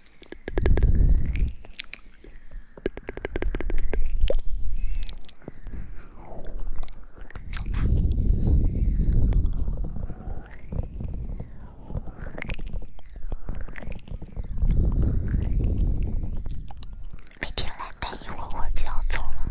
明天来待一会儿，会就要走了。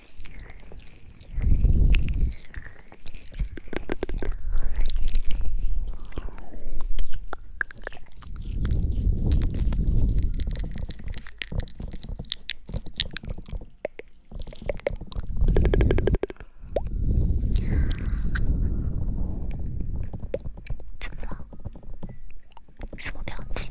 怎么了？什么表情？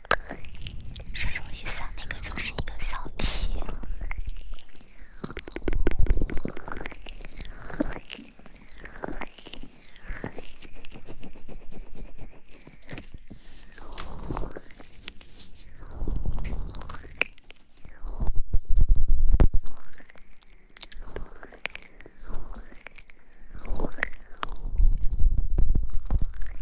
是什么意思啊？那个就是一个小题。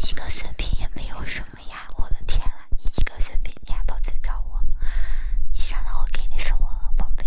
一个血瓶也没有什么呀！我的天啦，你一个血瓶你还跑去找我？你想到我给你什么了，宝贝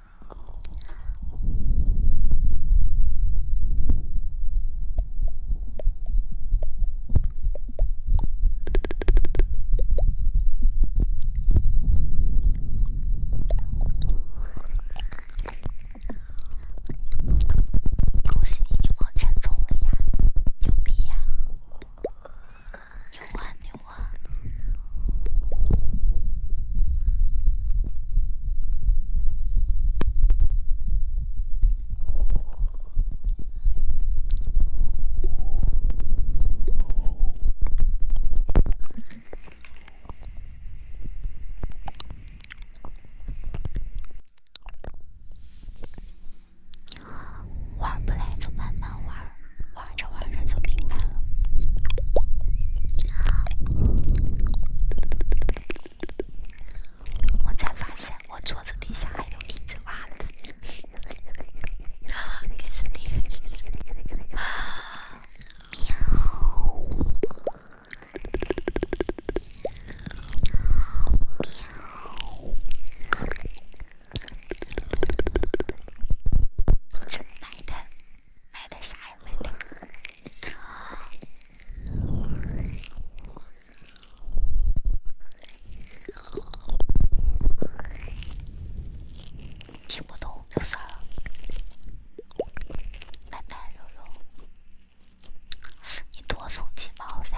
恭喜你，你往前走了呀！牛逼呀！牛啊牛！玩不来就慢慢玩。玩着玩着就明白了，我才发现我桌子底下还有一只袜子，这是喵喵，真难的。买的啥呀？买的，听不懂就算了。拜拜，肉肉，你多送几毛噻。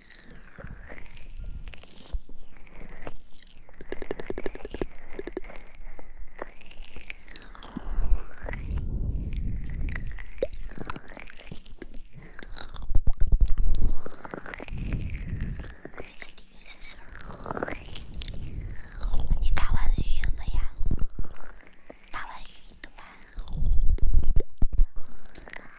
这次语音是什么？你打完语音了呀？打完语音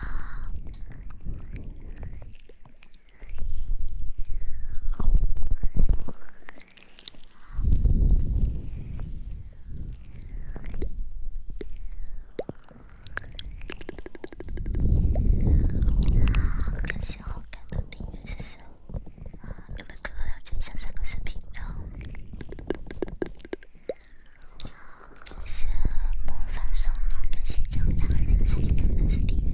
好，感谢好感的订阅，谢谢。有没哥哥了解一下三个视频？我是模范生，更新中，大人，请您再次订阅。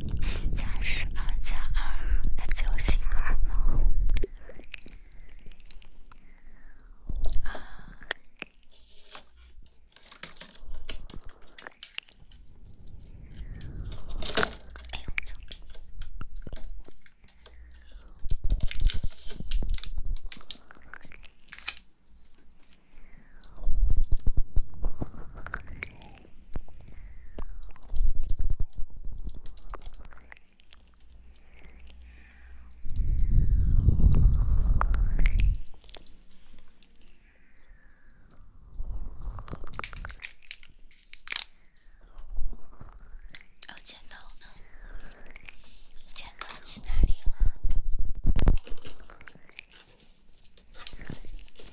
一加十二加二，那就是二吗？啊！哎呦我操！哦，剪刀呢？剪刀去哪里了？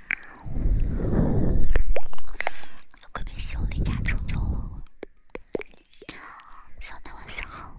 我可别又离家出走了，小南晚上好。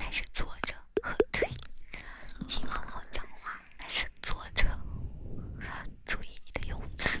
那是坐着和腿，请好好讲话。那是坐着，注意你的用词。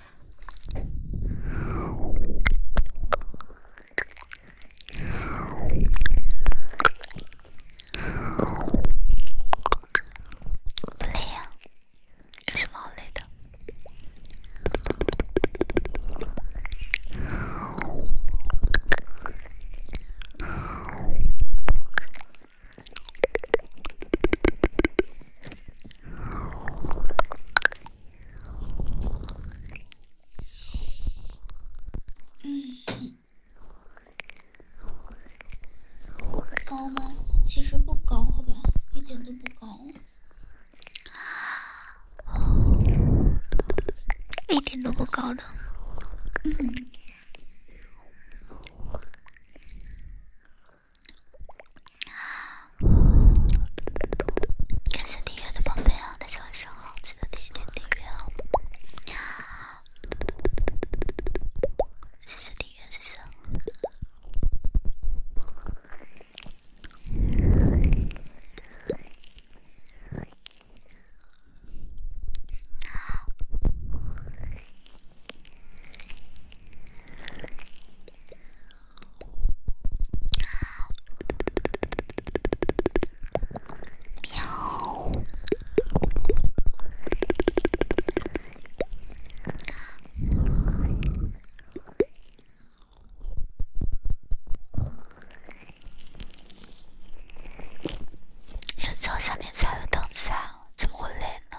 不累呀，有什么好累的？高吗？其实不高，好吧，一点都不高，一点都不高的。嗯。感谢订阅的宝贝啊！大家晚上好，记得点点订阅啊！谢谢订阅，谢谢。又从下面踩了凳子啊，怎么会累呢？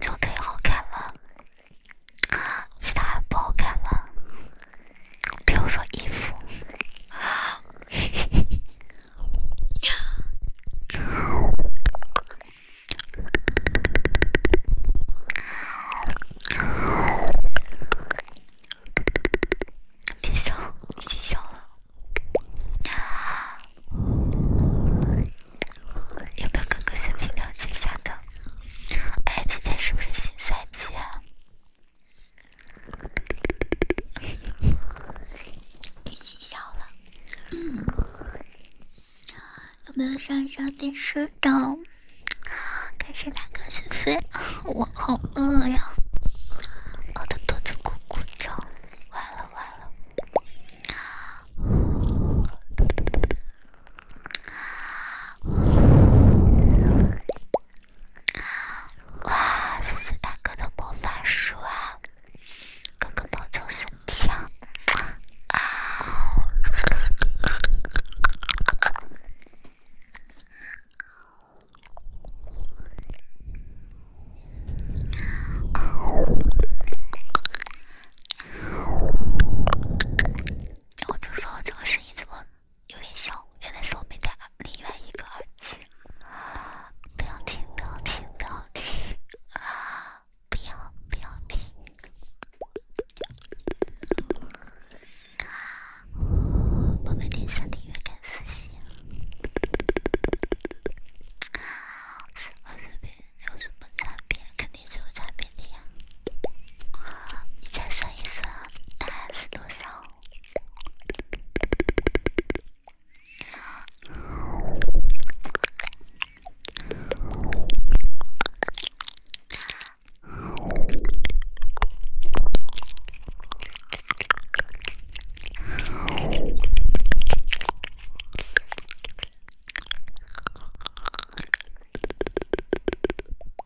就最好看了。其他不好看吗？比如说衣服，别笑，已经笑了。有没有哥哥水平解一下的？哎，今天是不是新赛季啊？已 经消了。有没有上一下电视的？感谢大哥，谢谢。我好饿呀，饿得肚子咕咕叫。完了完了。哇！谢谢大哥的魔法书啊，哥哥保重身体啊。我就说这个声音怎么有点小，原来是我没戴耳另外一个耳机。不要听，不要听，不要听！啊，不要，不要听！啊，我们连上音乐看私信啊，四个视频有什么差别？一组产品的呀，你再算一算，答案是多少？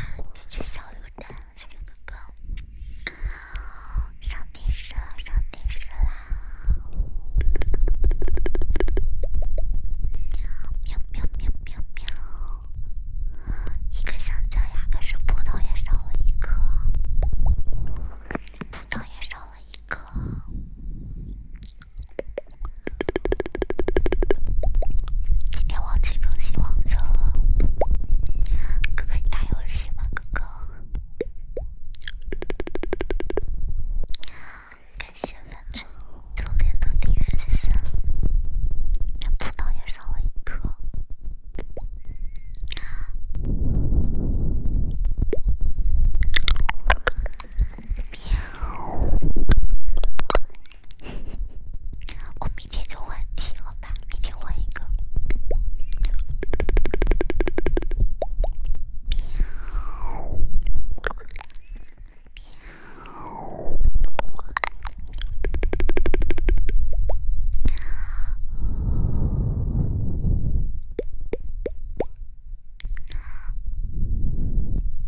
感谢小鹿蛋，小鹿哥哥上电视了，上电视了！喵喵喵喵喵！一个香蕉呀，可是葡萄也少了一颗葡萄也少了一颗今天忘记更新王者了，哥哥你打游戏吗？哥哥，感谢粉猪榴莲的订阅支持，葡萄也送我一颗。我明天就问你，好吧？明天问一个。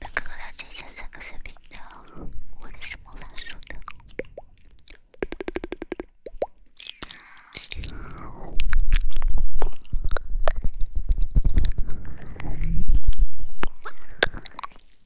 那哥哥俩之间三个水平，然后我的是不反数的。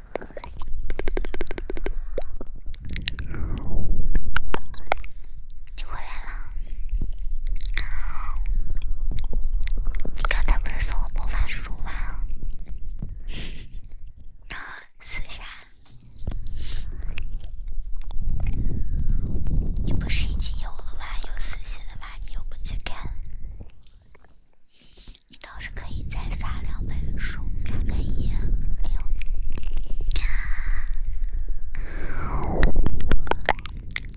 你回来了。你刚才不是送我魔法书吗？撕 下。你不是已经有了吗？有撕下的嘛？你又不去看。你倒是可以再刷两本书，两个页六。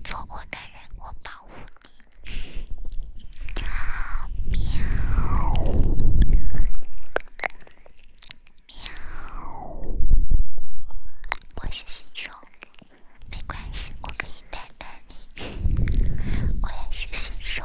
错过的人，我保护你。喵。喵。我是新手，没关系，我可以带带你。我也是新手。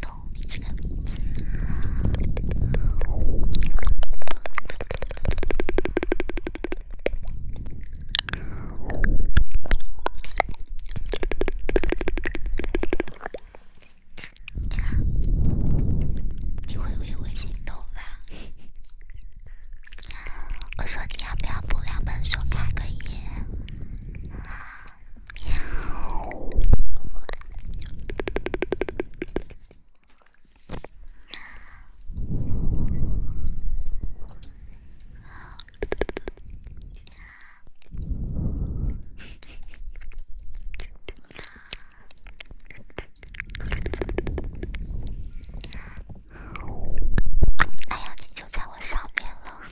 懂你这个名字你会为我心动吧？我说你要不要不两本书，开个眼？哎呀，你就在我上面了。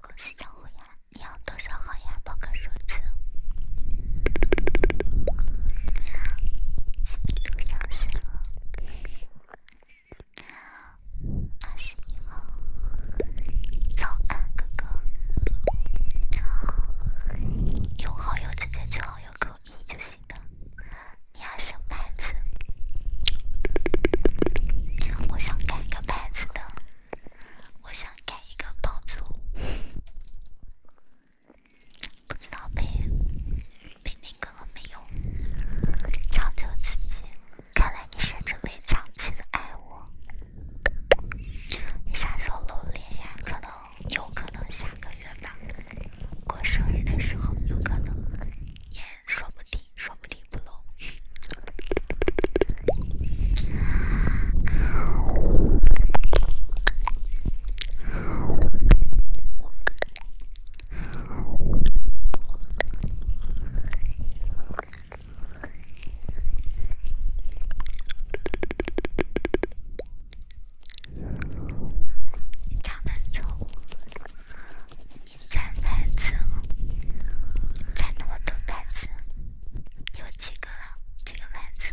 公司账户呀，你要多少号呀？报个数字。知名度飙升了。阿西号，早安，哥哥。用好友直接去好友扣令就行了。你还什牌子？我想改一个牌子的，我想改一个爆竹，不知道被被那个了没有？长久自己。看来你甚至没长起来爱我，你时候露脸呀？可能，有可能下个月吧。过生日的时候，有可能，也说不定，说不定不露。长板车，长板车，长那么多板子，有几个了？几个板子？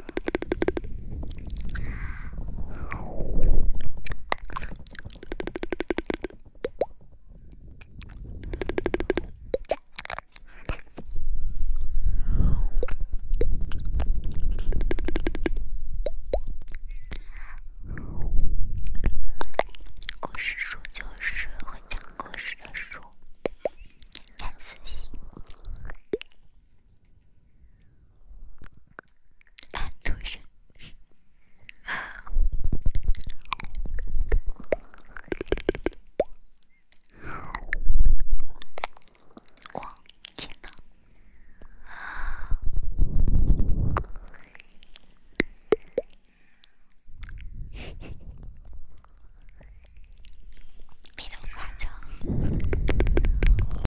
故事书就是会讲故事的书，看私信。男 神！哇，天哪！没那么夸张。